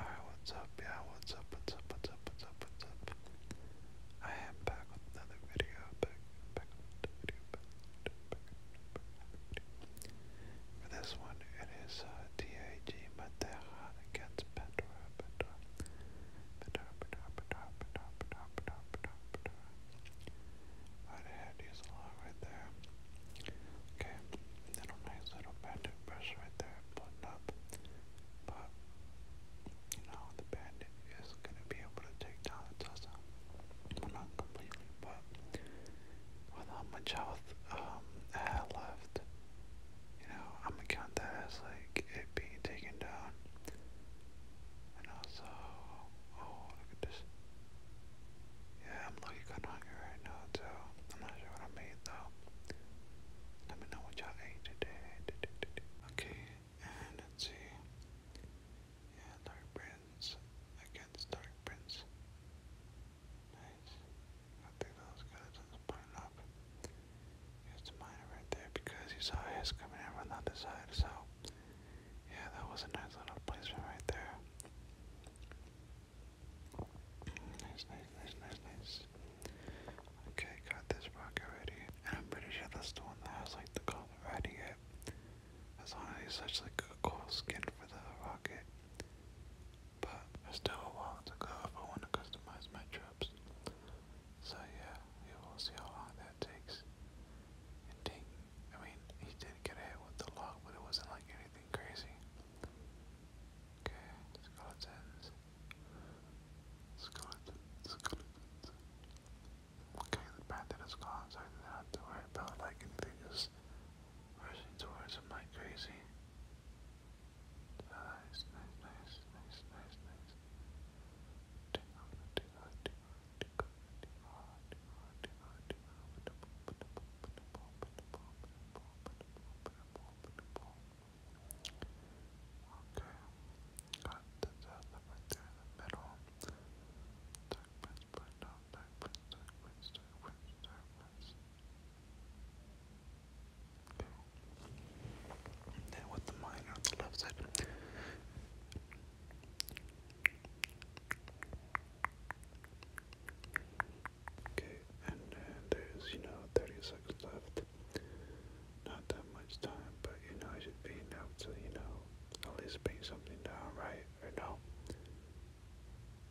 Alright, what's up? Yeah, what's up? What's up? What's up? What's up? What's up? I am back with another video. Back, back with another video. Back, back, back, back, back, back. For this one, it is uh, TIG Madeira against Pandora. Pandora. Pandora, Pandora, Pandora, Pandora, Pandora, Pandora, Pandora, Right ahead, use a lot right there. Okay, little nice little bend Pressure right there, button up. But you know, the bandit is gonna be able to take down the Tussa. not completely, but with much health um left, you know, I'm gonna count that as like it being taken down. And also, oh look at this. Yeah, I'm looking kind of hungry right now too. I'm not sure what I made though. Let me know what y'all ate today. Okay, and let's see. Yeah, Dark Prince against Dark Prince. Nice. I think those guys are putting up. Here's the right there because he saw his coming in from the side. So, yeah, that was a nice little placement right there. Nice, nice, nice, nice, nice. Okay, got this rock already. And I'm pretty sure that's the one that has like the common riding it. That's honestly such like a cool skin for the rocket. But there's still a while to go if I want to customize my trips. So yeah, you will see how long that takes. And I mean, he did get hit with the log, but it wasn't like anything crazy. Okay, skeletons. Skeleton, skeletons. Okay, the bandit is I didn't have to worry about like anything rushing towards him like crazy. nice, nice, nice, nice, nice. Okay, got the other the middle. Dark prince, black down, dark prince, dark Okay. And with the miner on the left side. Okay, and uh, there's, you know, 30 seconds left. Not that much time, but you know, it should be enough to, you know, at least paint something down, right? Or no?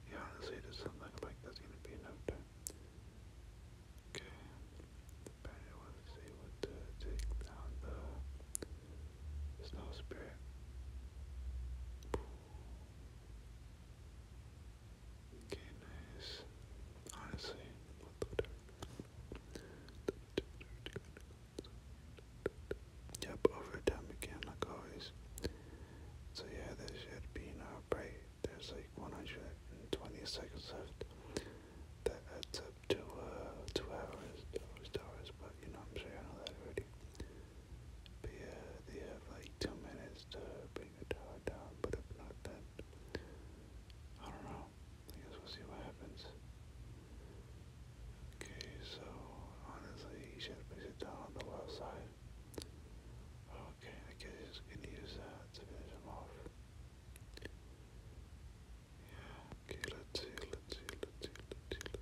Yeah, honestly, there's something like that's gonna be enough time. Okay, but I want to see what to take down the snow spirit. Okay, nice. Honestly, what the dirt. Yep, overtime again, always. So yeah, this should be no break. There's like 120 seconds left. That adds up to uh, two hours, hours, hours. But you know, I'm sure I know that already yeah, they have like two minutes to bring the tower down, but if not, then I don't know. I guess we'll see what happens. Okay, so honestly, he should place it down on the left side. Okay, I guess he's gonna use that to finish him off. Yeah, okay, let's see, let's see, let's see. Let's see.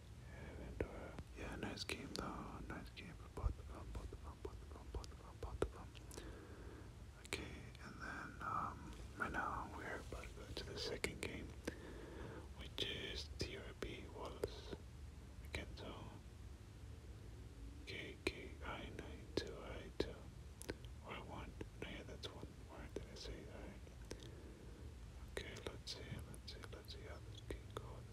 And uh, yeah, nice game though. Nice game for Okay, and then um, right now we're about to go to the second game, which is TRB Wallace Okay. I nine two I two or one. No, yeah, that's one. Where did I say? Alright. Okay, let's see, let's see, let's see how this game goes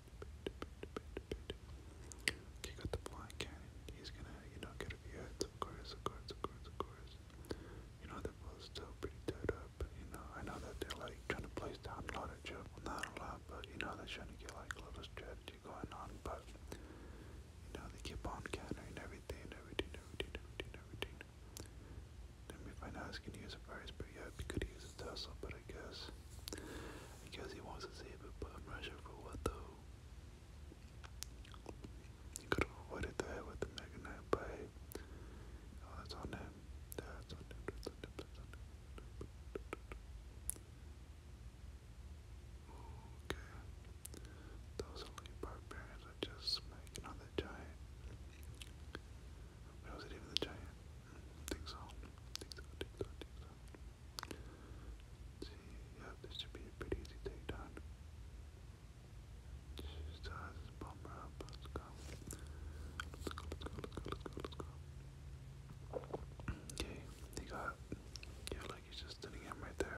Okay, got the flying cannon. He's gonna, you know, get a few hits, of course, of course, of course, of course. You know, the ball's still pretty tied up. You know, I know that they're like trying to place down a lot of jump, not a lot, but you know, they're trying to get like a little strategy going on, but you know, they keep on countering everything, everything, everything, everything, everything. Then we find out he's gonna use a prize, but yeah, he could use a Tesla, but I guess. Because he wants to save it, but i for what though. He could have avoided that with the Mega Knight, oh, that's on him. That's on him. That's on him. Okay. Those elite barbarians are just smacking on giant. Where was it even the giant? think so. think so, think so, see, yeah, this should be a pretty easy takedown. Just uh, bomber let's go. Let's go, let's go, let's go, let's go, Okay, he got, yeah, like he's just sitting right there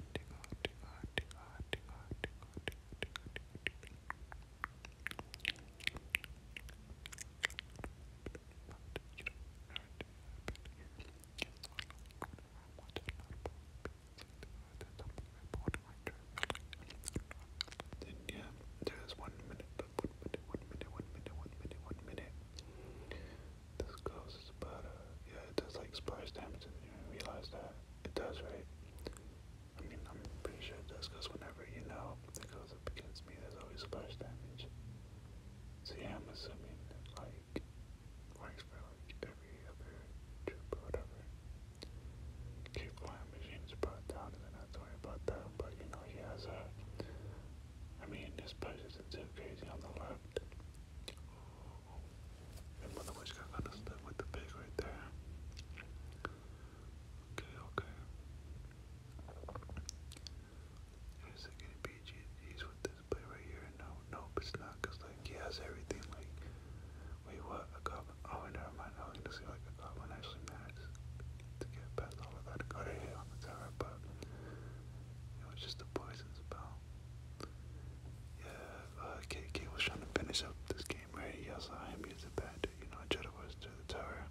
yeah, there's one minute, but one minute, one minute, one minute, one minute, one minute. This goes is yeah, it does like splash damage, and you realize that it does, right? I mean, I'm pretty sure it does, because whenever you know, it goes up against me, there's always splash damage. So I'm assuming that like works for like every other troop or whatever. Keep flying machines brought down and then I have about that, but you know he has a I mean his push too crazy on the left. And mother got kinda with the pig right there. Okay, okay. Is it gonna be GG's with this play right here? No, nope, it's not. Cause like he has everything. Like, wait, what? A goblin? Oh, never mind. I was gonna say like a goblin actually managed to get past all of that. Got a hit on the tower, but it was just a poison spell. Yeah, uh, KK was trying to finish up this game, right? Yes, I am using bad. You know, I tried to rush to the tower.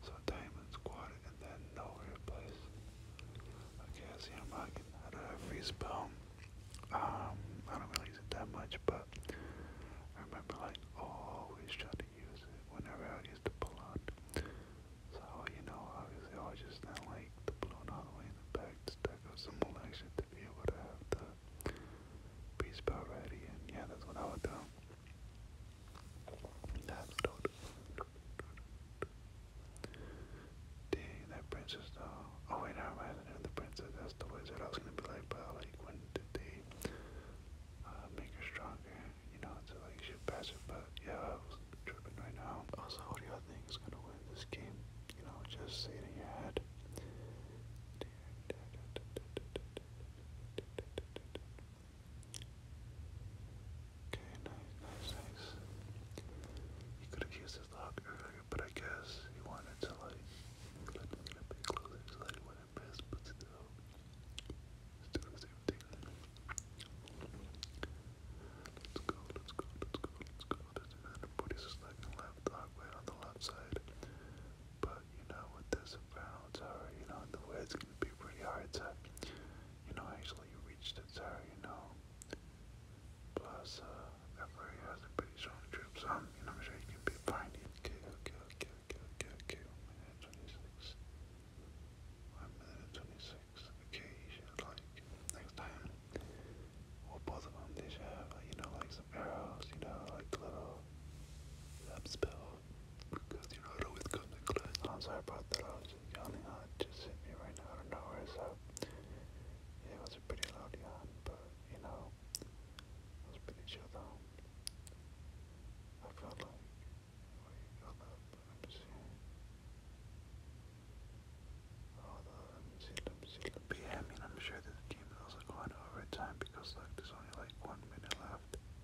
So Diamond's quarter and then nowhere place. Okay, I see him rocking. I don't have spell. Um, I don't really use it that much, but I remember like always trying to use it whenever I used to pull out. So, you know, obviously I just not like the balloon all the way in the back to stack up some more action to be able to have the beast spell ready and yeah, that's what I would do. Dang, that princess though. Oh wait, I reminded me the princess. That's the wizard. I was gonna be like, but like, when did they make her stronger? You know, so like she pass it. But yeah, I was tripping right now. Also, what do y'all gonna win this game? You know, just say in your head. Okay, nice, nice, nice. He could have used his lock earlier, but I guess he wanted to like get a bit closer to like what I best, but still, still the same thing. Let's go, let's go, let's go, let's go. Let's go. Everybody's just left, dog on the left side, but but you know, with the soprano tower, you know, the wood's gonna be pretty hard to, you know, actually reach the tower, you know. Plus, uh, that very has a pretty strong trip, so I'm, you know, I'm sure you can be fine. Okay, okay, okay, okay, okay, okay, one minute 26. One minute 26. Okay, you should, like, next time, well, both of them, they should have, like, you know, like some arrows, you know, like little, that spell. Because you know it always comes in clutch. I'm sorry about that. I was just yawning. It just hit me right now out of nowhere. So yeah, it was a pretty loud yawn, but you know, it was pretty chill though. I felt like where you got up. Let me see. Oh, the, let me see. Let me see. Let me see. But yeah, I mean, I'm sure this game is also going overtime because look, there's only like one minute left.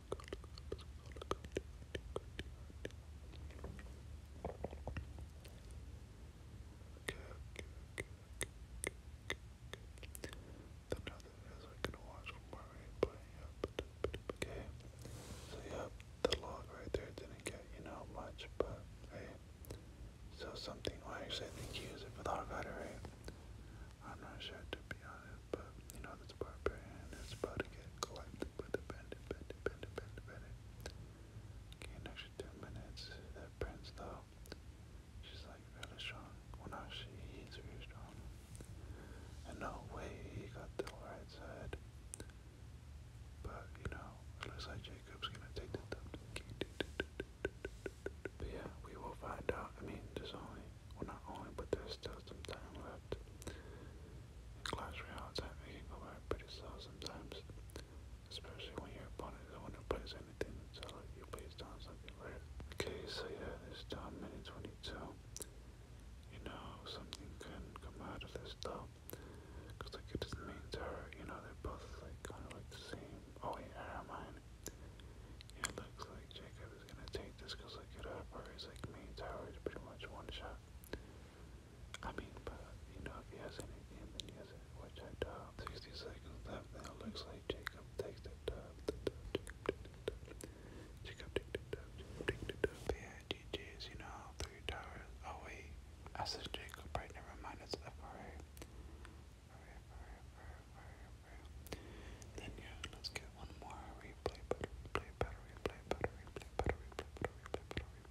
Okay. So yeah, the log right there didn't get, you know, much, but hey. So something well actually I think you use it for the hog right? I'm not sure to be honest but you know this barbarian is about to get collectively dependent, dependent, dependent, dependent. Okay, an extra two minutes. That prince though, she's like really strong. Well, not she, really strong. And no way he got the right side. But you know, looks like Jacob's gonna take the top. But yeah, we will find out. I mean, there's only, well, not only, but there's still some time left. Clash Royale time making over pretty slow sometimes. Especially when your opponent is the one who plays anything until like, you plays down something rare. Okay, so yeah, this down minute 22. You know, something can come out of this though. Cause like it just means her, you know, they're both like kind of like the same. Oh wait, yeah, never mind. Yeah, it looks like Jacob who's gonna take this because like it operates like main tower is pretty much one shot. I mean, but you know, if he has anything, then he has it, which I 60 seconds left now. Looks like Jacob takes the dub. The dub, Jacob, the dub. the dub. Jacob, take you know, three towers. Oh, wait. I said Jacob, right? Never mind, it's FRA. Then yeah, let's get one more replay, better replay, better replay, better replay, better replay, better replay,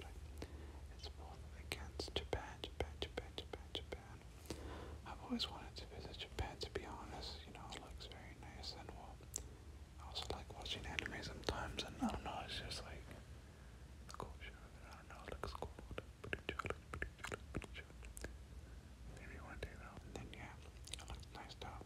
better replay, better replay. It's both against Japan, Japan, Japan, Japan, Japan. I've always wanted to visit Japan to be honest, you know, it looks very nice and well. I also like watching anime sometimes, and I don't know, it's just like the culture I don't know, it looks cool, Maybe one day though. then yeah, it looks nice though.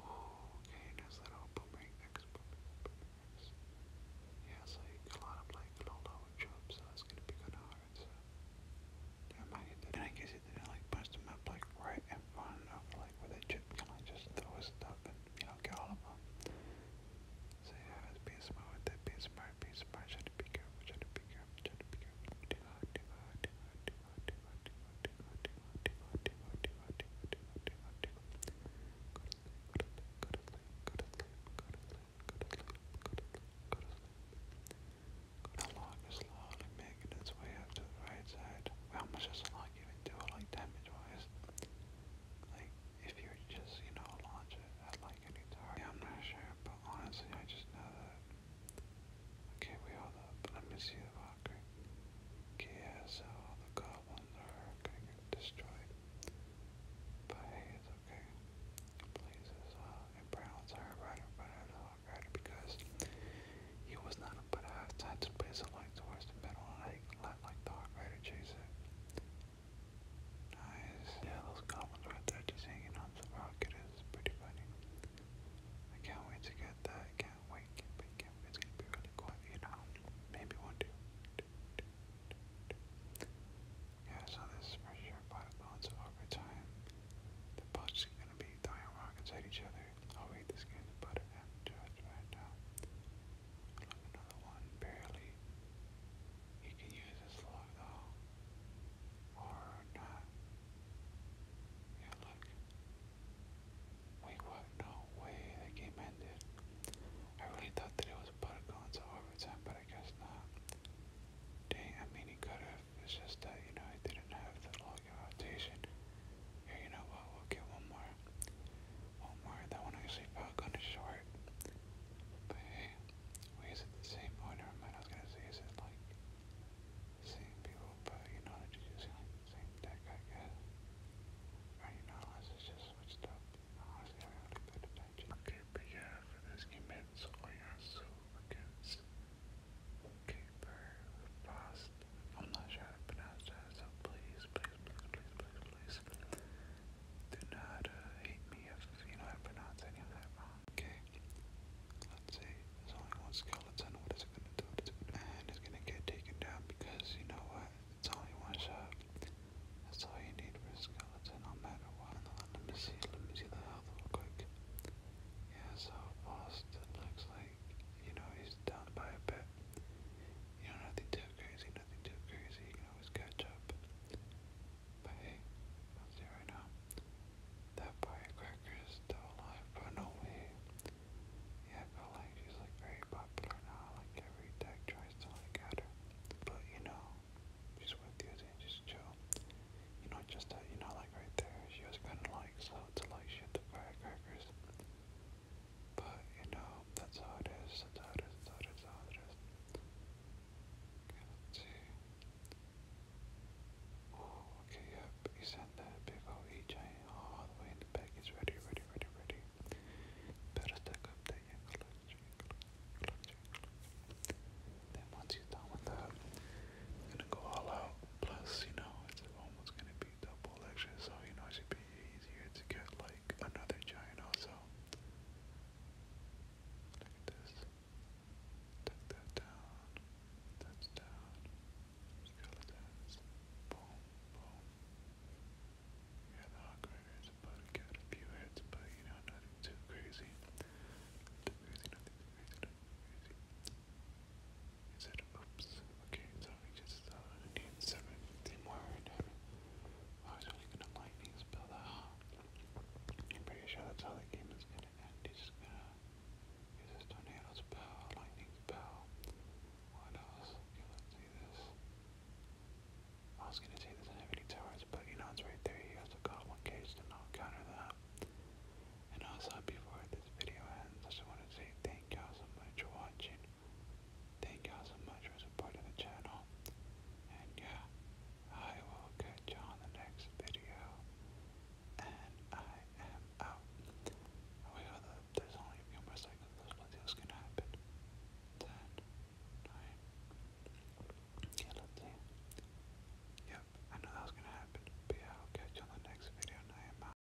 okay, there's that old boomerang X boomerangs. Yeah, so you like low level jumps, so gonna be kinda hard, so I guess it didn't like bust them up like right in front of like where the chip can like just throw stuff and you know get all of them. So yeah, it's smart with smart, being smart, try to be careful, try to be careful, try to be careful, do hard, do hard, do hard, the log making its way up to the right side. How much does the log even like damage-wise? Like, if you just, you know, launch it at like any target. I'm not sure, but honestly, I just know that Okay, we hold up. Let me see the Valkyrie. Okay, yeah, so all the goblins are gonna get destroyed by haze, okay? Blazes, uh, and Brown's are right in front of the Valkyrie because he was not up at half time to place a light towards the middle and I let like the Hawk Rider chase it. Nice. Yeah, those goblins right there just hanging on the rocket is pretty funny. I can't wait to get that. I can't wait, can't wait, can't wait. It's gonna be really cool, you know. Maybe one day. Yeah, so this is for sure by lots of overtime. The punch is gonna be throwing rockets at each other. I'll read this game about it after right now. I love another one, barely. You can use this log though. Or not. Yeah, look. Wait, what? No way, that game ended. I really thought that it was about to overtime, but I guess not. Dang, I mean, he could have. It's just that, you know, I didn't have the login rotation. Here, you know what? We'll get one more. One more. That one actually fell kind of short. But hey, wait, is it the same? Oh, I was going to say, is it like same people, but you know, they're just like same deck, I guess. I don't Okay, but yeah, I'm not sure how to pronounce that, so please, please, please, please, please, do not uh, hate me if you know how to pronounce any wrong. Okay, Let's see. There's only one skeleton. What is it gonna do? What is it gonna do? And it's gonna get taken down because you know what? It's only one shot. That's all you need for a skeleton, no matter what. Let me see. Let me see the health real quick. Yeah, so fast it looks like you know he's down by a bit. You know nothing too crazy, nothing too crazy. You can always catch up. But hey, I'll see right now that firecracker is still alive, but no way. Yeah, I feel like she's like very popular now, like every tech tries to like at her. But you know, she's with you and just chill. You know, just that, you know, like right there, she was kinda like slow to like shoot firecrackers. But you know, that's how it is, that's how it is, that's how it is, how it is. Okay, see okay, yep. He sent that big old EJ all the way in the back. It's ready, ready, ready, ready. Better stack up that yeah, collection, collection, collection. Then once you're done with that, I'm gonna go all out. Plus, you know, it's almost gonna be double lecture, so you know it should be easier to get like another giant also. Look this. Take that down. That's down. Skeletons. Boom, boom. Yeah, the hog is about to get a few hits, but you know, nothing too crazy. Too crazy, nothing too crazy, oops. Okay, so just uh, need 17 more I was really gonna lightning spell that. I'm pretty sure that's how the game is gonna end. just gonna tornadoes, pow, lightning, pow. What else? Okay, let see this. I was gonna say doesn't have towers, but you know it's right there. You also got one cage to not counter that. And also before this video ends, I just want to say thank y'all so much for watching. Thank y'all so much for supporting the channel. And yeah, I will catch y'all on the next video and I am the, oh there's only a few more seconds left until gonna happen. Ten, nine. Yep, I know that was gonna happen. But I'll catch you on the next video, and